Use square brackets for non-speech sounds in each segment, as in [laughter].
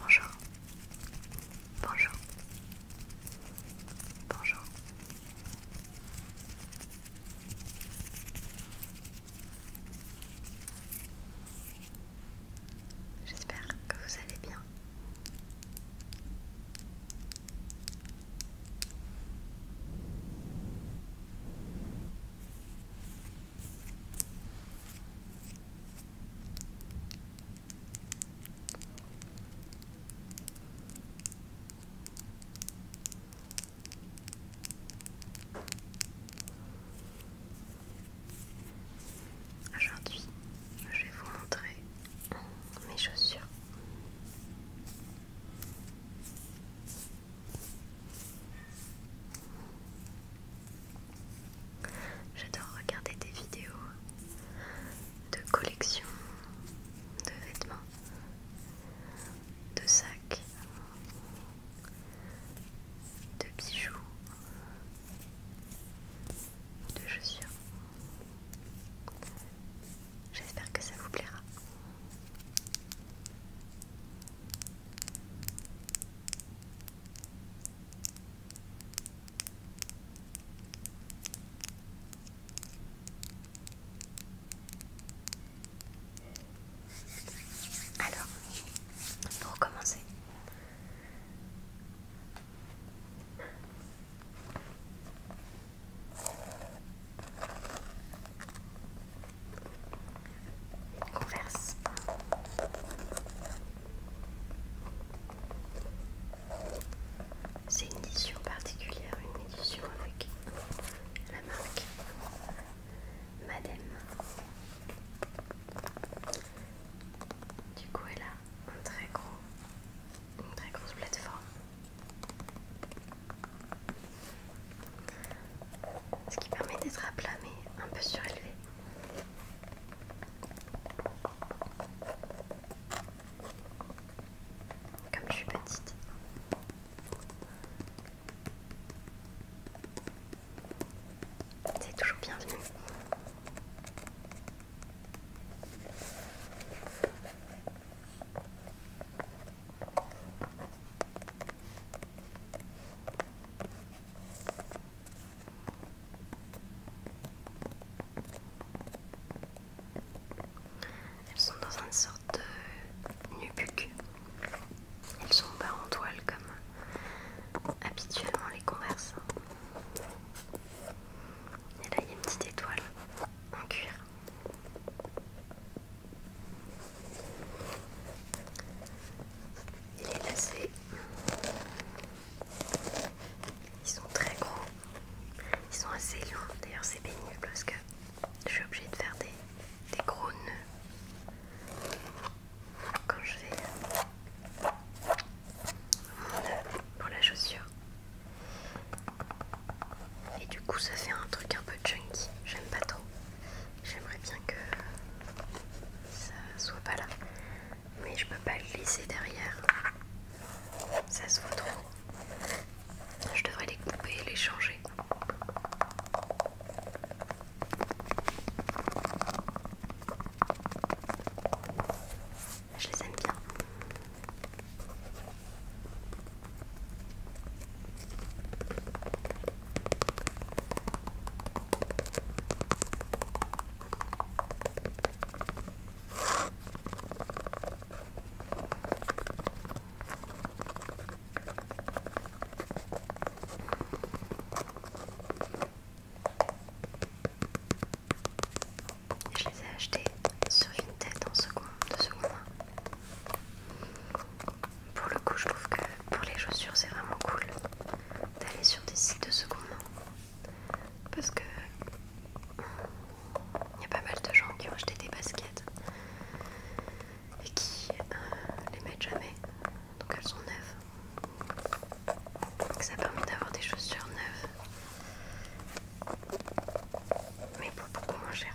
Bonjour. Bonjour. Bonjour. J'espère que vous allez bien. Aujourd'hui, je vais vous montrer mes chaussures. J'adore regarder des vidéos de collection de vêtements, de sacs, de bijoux, de chaussures. J'espère que ça vous plaira. Alors, pour commencer, Converse. C'est une édition particulière, une édition avec la marque Madame. Du coup, elle a un très gros, une très grosse plateforme ce qui permet d'être à plat mais un peu surélevé. Comme je suis petite. C'est toujours bienvenu. Elles sont dans une sorte de nubuck. Elles sont bas en toile comme habituellement les converses. Et là il y a une petite étoile en cuir est Ils sont très gros. Ils sont assez longs. D'ailleurs, c'est pénible parce que je suis obligée de faire des, gros nœuds quand je fais mon nœud pour la chaussure. Et du coup, ça fait un truc un peu chunky. J'aime pas trop. J'aimerais bien que ça soit pas là. Mais je peux pas le laisser derrière. Ça se voit trop. Je devrais les couper et les changer. Je les aime bien. Je les ai achetés sur une tête en seconde, de seconde pour le coup, je trouve que pour les chaussures, c'est vraiment cool d'aller sur des sites de seconde parce que il y a pas mal de gens qui ont acheté des baskets et qui euh, les mettent jamais, donc elles sont neuves. ça permet d'avoir des chaussures neuves, mais pour beaucoup moins cher.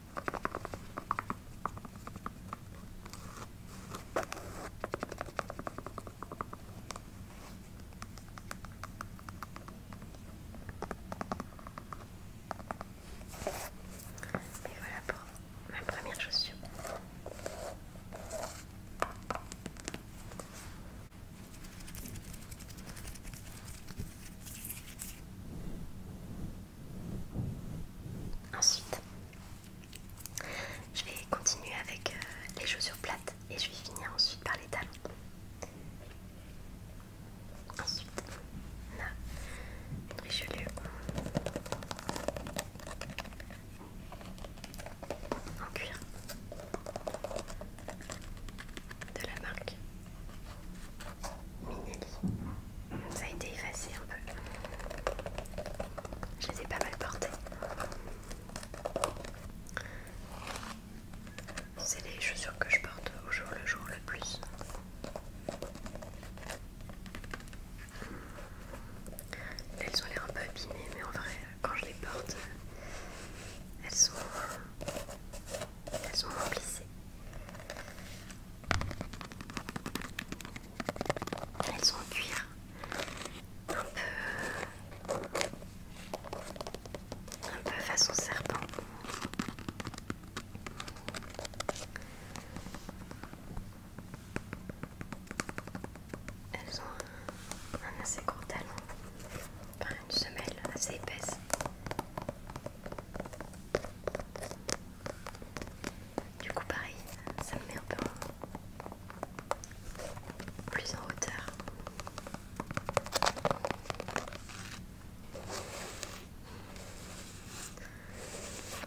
Et voilà pour ma première chaussure. Ensuite, je vais continuer avec euh, les chaussures plates et je vais finir ensuite par les talons. Ensuite, on a une Richelieu en cuir de la marque mini Ça a été effacé un peu. Je les ai pas mal portées. C'est les chaussures que je porte au jour le jour le plus. Elles ont l'air un peu abîmées, mais en vrai, quand je les porte, elles sont, elles sont elles sont en cuir, un peu, un peu façon serpent. Elles ont un, assez gros talon, une semelle assez épaisse. Du coup pareil, ça me met un peu plus en hauteur.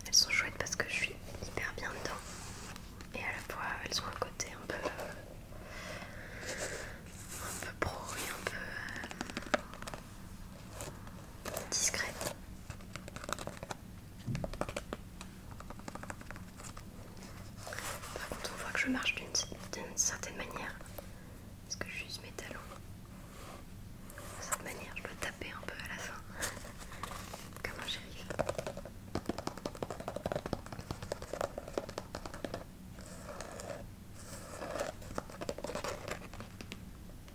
Elles sont chouettes parce que je suis hyper bien dedans. Et à la fois elles ont un côté un peu un peu pro et un peu euh, discret. Par contre, on voit que je marche d'une certaine manière. Parce que j'use mes talons. De cette manière, je dois taper un peu à la fin. [laughs] Comment arrive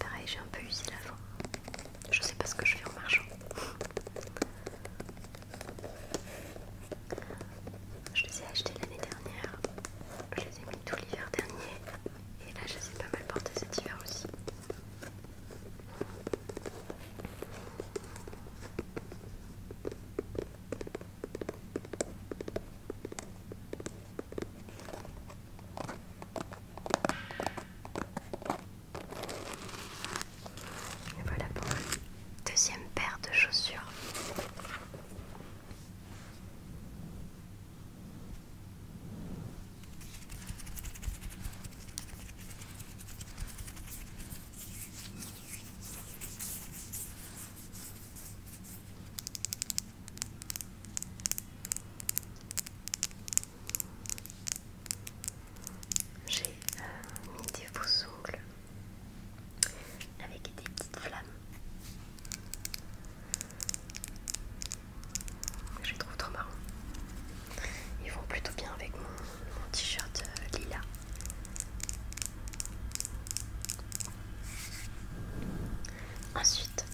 Pareil, j'ai un peu usé la voix. Je sais pas ce que je fais en marchant. Je les ai achetés l'année dernière. Je les ai mis tout l'hiver dernier. Et là, je les ai pas mal portés cet hiver aussi voilà pour deuxième paire de chaussures. J'ai euh, mis des faux ongles avec des petites flammes. Je les trouve trop marrants. Ils vont plutôt bien avec mon, t-shirt euh, lila. Ensuite,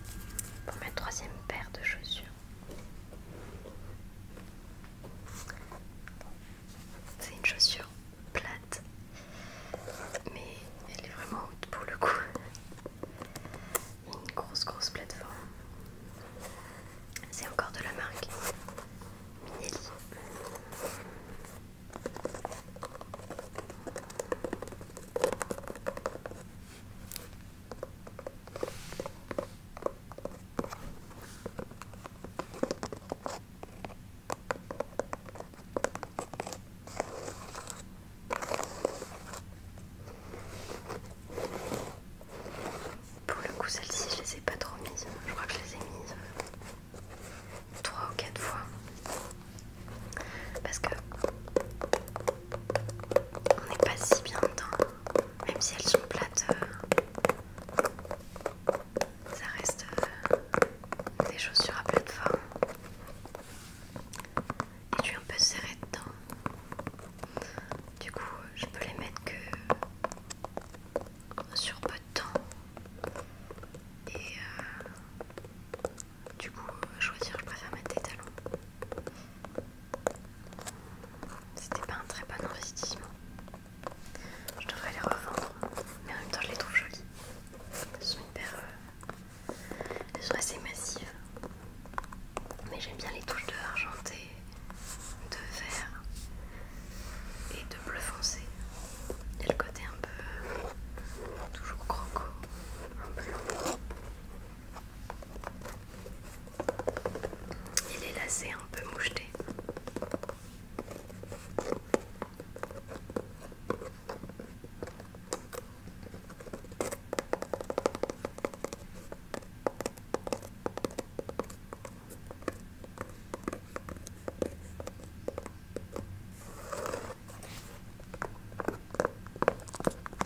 pour ma troisième paire de chaussures, c'est une chaussure plate, mais elle est vraiment haute pour le coup. Une grosse grosse plateforme. C'est encore de la marque Minelli. Pour le coup, celle ci je les ai pas trop mises. Je crois que je les ai mises euh, trois ou quatre fois parce que on n'est pas si bien dedans même si elles sont plates, euh, ça reste euh, des chaussures à plateforme. Et je suis un peu serrée dedans. Du coup, je peux les mettre que sur peu de temps. Et euh, du coup, choisir, je préfère mettre des talons. C'était pas un très bon investissement. Je devrais les revendre, mais en même temps je les trouve jolies. Elles sont hyper. Euh, sont assez massives. Mais j'aime bien les touches de argenté, de vert et de bleu foncé. Et le côté un peu. toujours croco, un peu long. Il est lassé, un peu moucheté.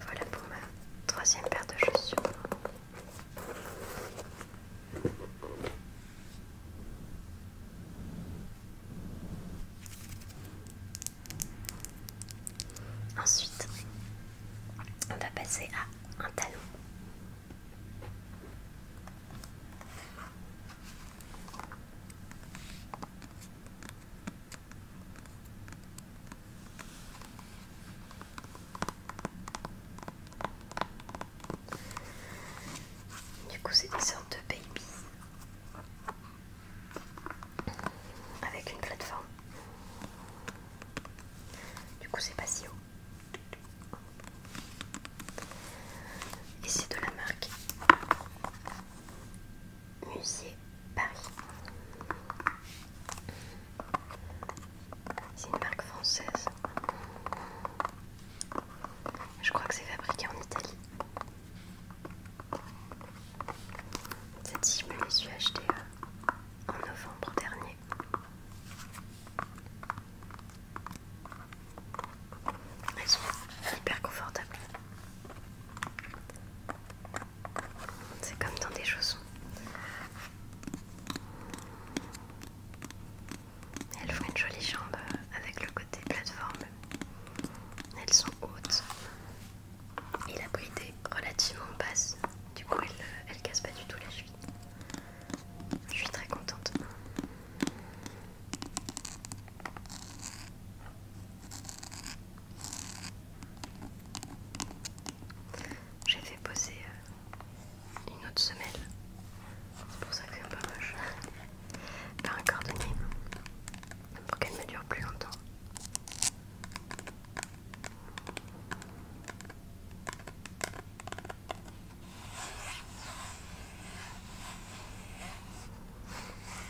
Voilà pour ma troisième paire de chaussures. Ensuite, on va passer à un talon. Du coup, c'est une sorte de baby avec une plateforme. Du coup, c'est pas si haut. Et c'est de la marque Musée Paris. C'est une marque française. Je crois que c'est fabriqué en Italie. Cette je me les suis achetée euh, en novembre dernier. Elles sont hyper confortables. C'est comme dans des chaussons. Elles font une jolie jambe avec le côté plateforme. Elles sont hautes et la bride est relativement basse. Du coup, elle, ne casse pas du tout la chevilles. Je suis très contente. J'ai fait poser euh, une autre semelle, pour ça que c'est un peu moche, par un cordonnier pour qu'elle me dure plus longtemps.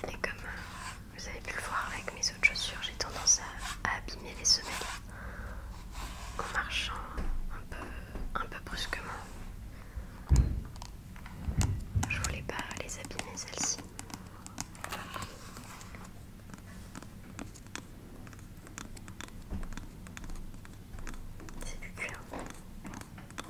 Et comme euh, vous avez pu le voir avec mes autres chaussures, j'ai tendance à, abîmer les semelles en marchant un peu, un peu brusquement. Je voulais pas les abîmer celles-ci. C'est du cuir.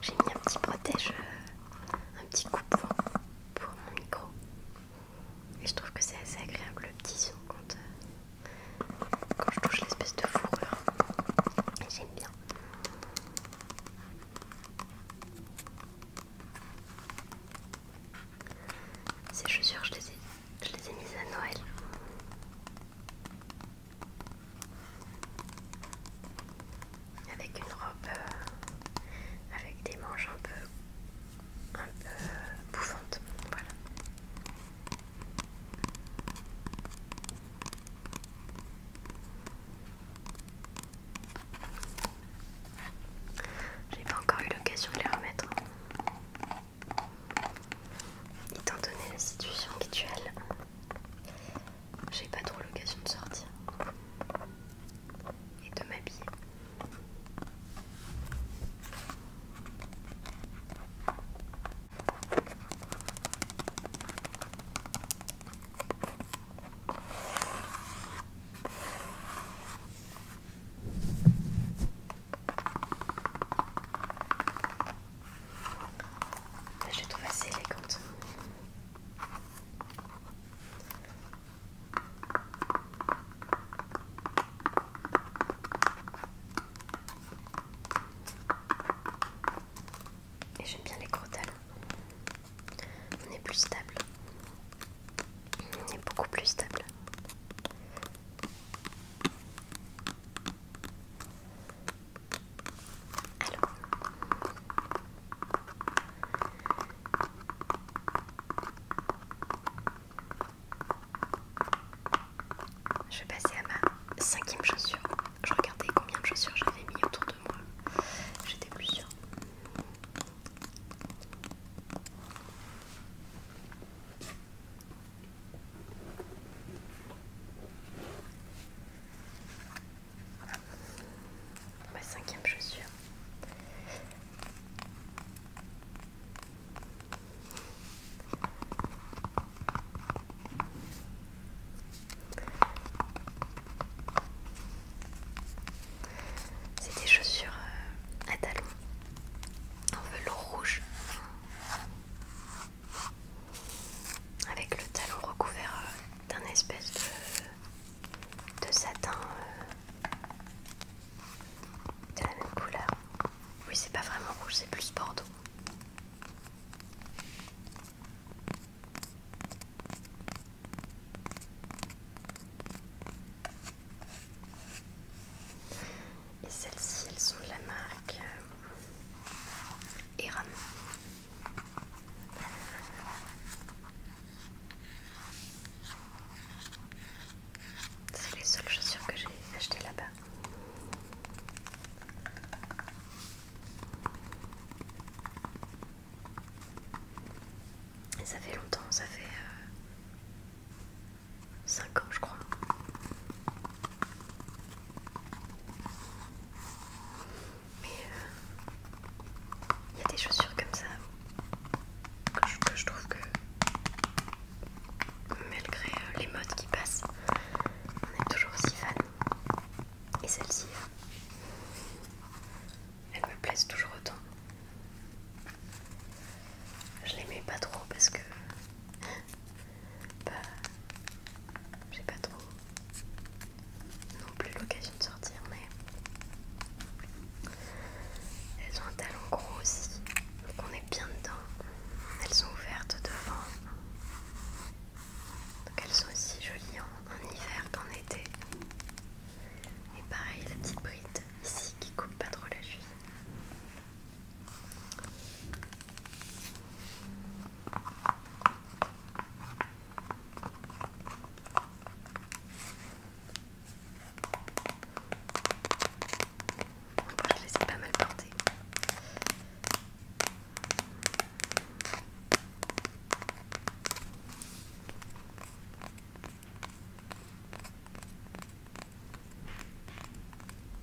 J'ai mis un petit protège, euh, un petit coup pour mon micro. Et je trouve que c'est assez agréable le petit son quand, euh, je touche l'espèce de fourrure. J'aime bien. Ces chaussures, je les je les ai mises à Noël avec une robe euh, avec des manches un peu, un peu bouffantes. Voilà. J'ai pas encore eu l'occasion de les remettre. Étant donné la situation actuelle, j'ai pas trop l'occasion de sortir et de m'habiller je trouve assez élégante. Et j'aime bien les gros On est plus stable. On est beaucoup plus stable. Alors. Je vais passer à ma cinquième chaussure. Je regardais combien de chaussures j'avais mis autour de moi. J'étais plus sûre. Ma bah, cinquième chaussure. C'est des chaussures euh, à talons en velours rouge avec le talon recouvert euh, d'un espèce de, satin euh, de la même couleur. Oui, c'est pas vraiment rouge, c'est plus bordeaux. Et celles-ci, elles sont de la marque euh, et C'est les seules chaussures que j'ai achetées là-bas. ça fait longtemps, ça fait 5 euh, ans je crois. Mais il euh, y a des chaussures comme ça que je, trouve que malgré euh, les modes qui passent, on est toujours aussi fan. Et celle-ci, euh, elle me plaise toujours autant. Je l'aimais pas trop parce que bah, j'ai pas trop non plus l'occasion de sortir, mais elles ont un talon gros aussi, donc on est bien dedans. Elles sont ouvertes devant, donc elles sont aussi jolies en, hiver qu'en été. Et pareil, la petite bride ici qui coupe pas trop la cheville. Voilà, je les ai pas mal portés.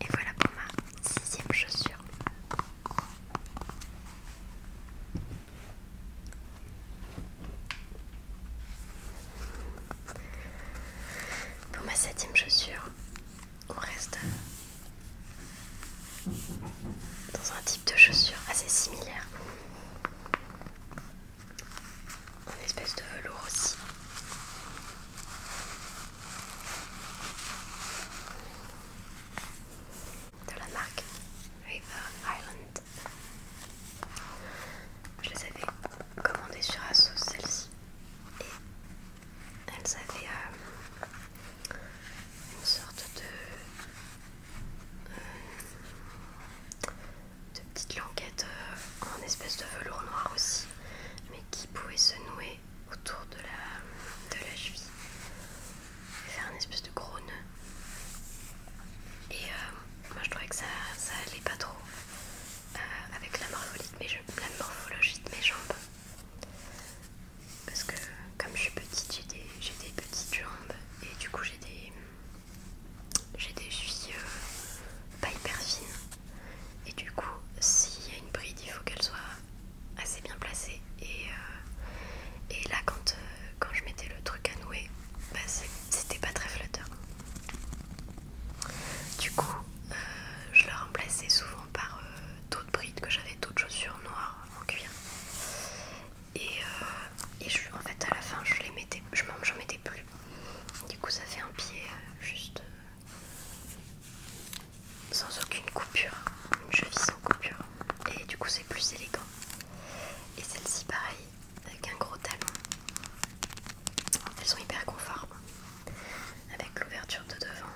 Et voilà pour ma sixième chaussure. Pour ma septième chaussure, on reste dans un type de chaussure assez similaire une espèce de velours aussi. De la marque River Island. Je les avais commandées sur Asos celle-ci et elles avaient euh, une sorte de euh, de petites languettes euh, en espèce de velours noir aussi, mais qui pouvaient se nouer autour de la, de la cheville et faire un espèce de gros nœud. Et euh, moi je trouvais que ça, allait pas trop euh, avec la morphologie, de mes, morphologie de mes jambes. Parce que comme je suis petite, j'ai des, des petites jambes et du coup j'ai des j'ai des chevilles pas hyper fines et du coup, s'il y a une bride, il faut qu'elle soit assez bien placée. Et, euh, là, quand, euh, quand je mettais le truc à nouer, bah, c'était pas très flatteur. Du coup, euh, je le remplaçais souvent par d'autres brides que j'avais, d'autres chaussures noires en cuir. Et, en fait, à la fin, je les mettais, je m'en mettais plus du coup, ça fait un pied euh, juste euh, sans aucune coupure, une cheville sans coupure, et du coup, c'est plus élégant. Et celle-ci, pareil, avec un gros talon. Elles sont hyper conformes, avec l'ouverture de devant.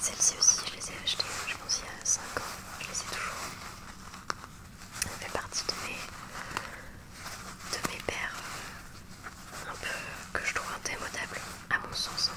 Celles-ci aussi, je les ai achetées, je pense, il y a 5 ans. Je les ai toujours. Elles fait partie de mes, de paires euh, un peu que je trouve indémodables, à mon sens. Hein.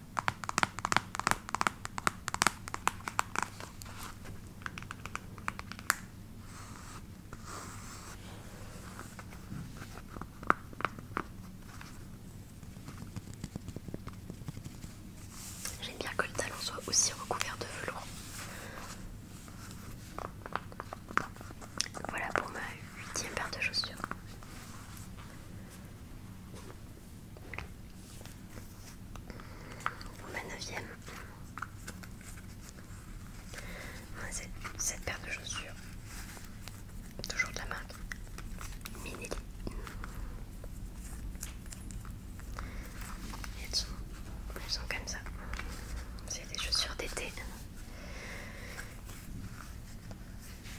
J'aime bien que le talon soit aussi recouvert de velours. Voilà pour ma huitième paire de chaussures. Pour ma neuvième. c'est cette paire de chaussures. Toujours de la marque Minelli. Elles sont, comme ça. C'est des chaussures d'été.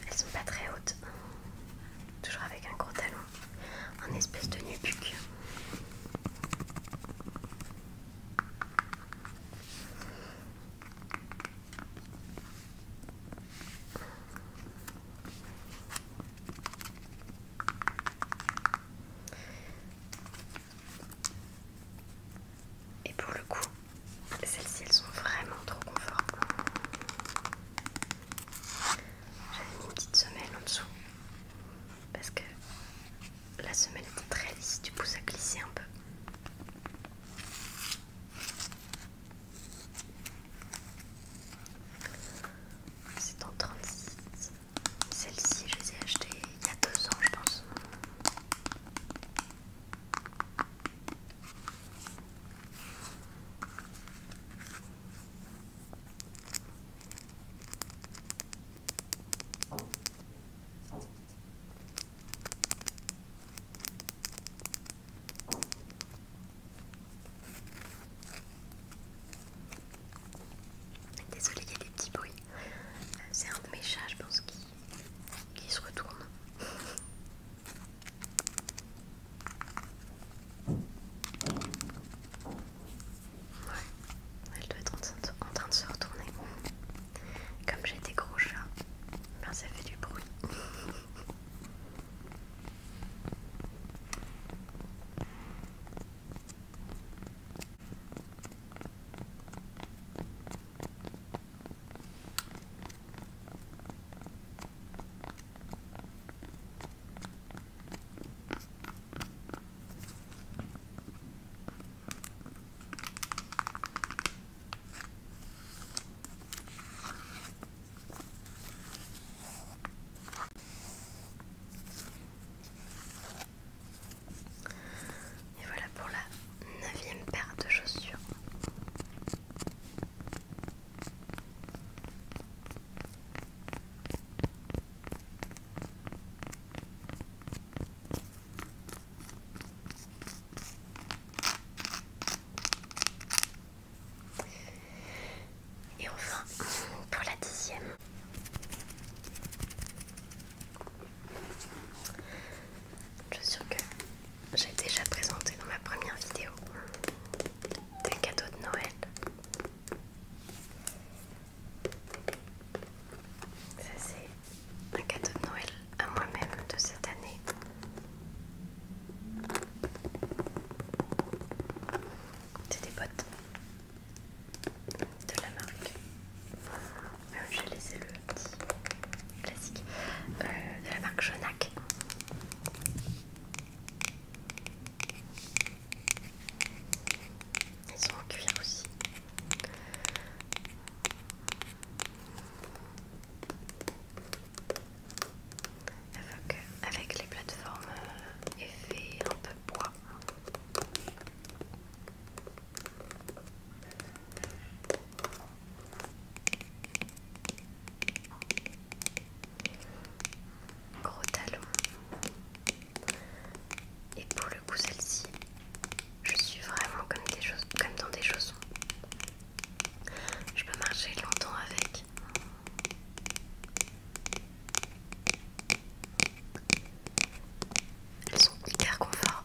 Elles sont pas très hautes. Toujours avec un gros talon un espèce de nubuck. Et pour le coup, celles-ci elles sont vraiment trop confortables. J'avais mis une petite semelle en dessous parce que la semelle était très lisse, du coup ça glissait un peu. C'est en 36. Celle-ci, je les ai achetées il y a deux ans, je pense. Désolée, il y a des petits bruits. Euh, c'est un de mes je pense, qui se retourne elle doit être en, train de se retourner. Comme j'ai des gros chats, ben ça fait du bruit. Et voilà pour la neuvième paire de chaussures. Et enfin, pour la dixième, je suis sûr que j'ai déjà présenté dans ma première vidéo un cadeau de Noël. Ça c'est un cadeau de Noël à moi-même de cette année. C'est des bottes de la marque. Euh, les laissé le petit classique euh, de la marque Jonac. Ils sont en cuir aussi. Avec, avec les plateformes euh, effet un peu bois gros talons. Et pour le coup, celle-ci, je suis vraiment comme, comme dans des chaussons. Je peux marcher longtemps avec. Elles sont hyper confort.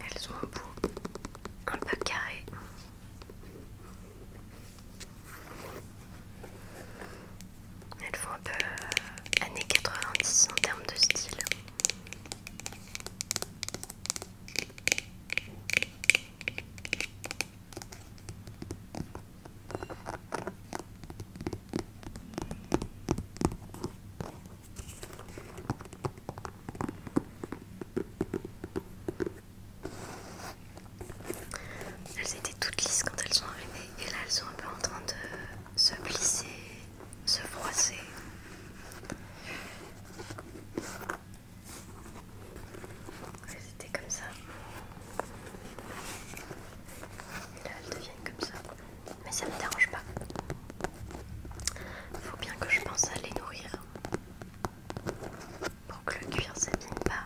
Elles ont un bout un peu carré. Elles font un peu euh, années 90 en termes de style. Elles étaient toutes lisses quand elles sont arrivées et là elles sont un peu en train de se plisser, se froisser. Elles étaient comme ça. Et là elles deviennent comme ça mais ça ne me dérange pas. Faut bien que je pense à les nourrir pour que le cuir ne s'abîme pas,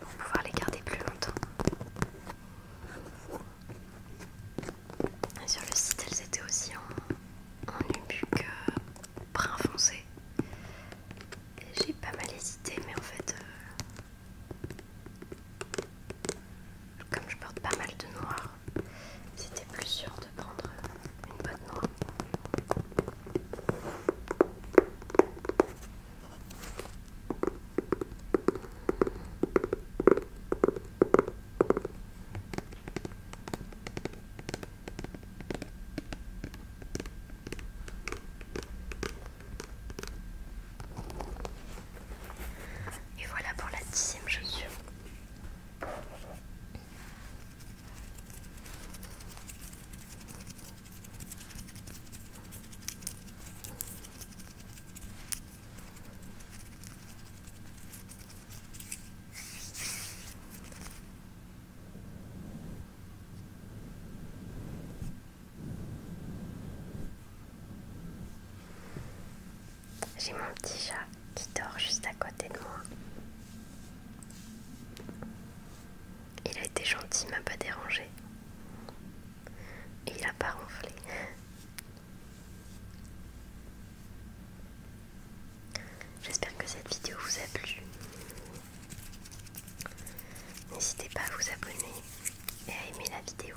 pour pouvoir les garder plus longtemps. sur le site, elles étaient aussi en, en nubuck euh, brun foncé. J'ai pas mal hésité, mais en fait, euh, comme je porte pas mal de noir, c'était plus sûr de prendre une bonne noire. Et voilà pour la dixième chaussure. J'ai mon petit chat qui dort juste à côté de moi. Il a été gentil, m'a pas dérangé. Il a pas ronflé. J'espère que cette vidéo vous a plu. N'hésitez pas à vous abonner et à aimer la vidéo.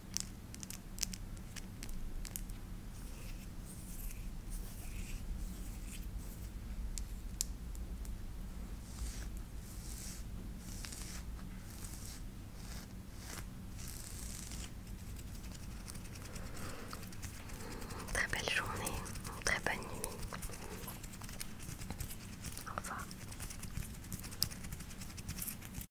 Très belle journée, très bonne nuit. Au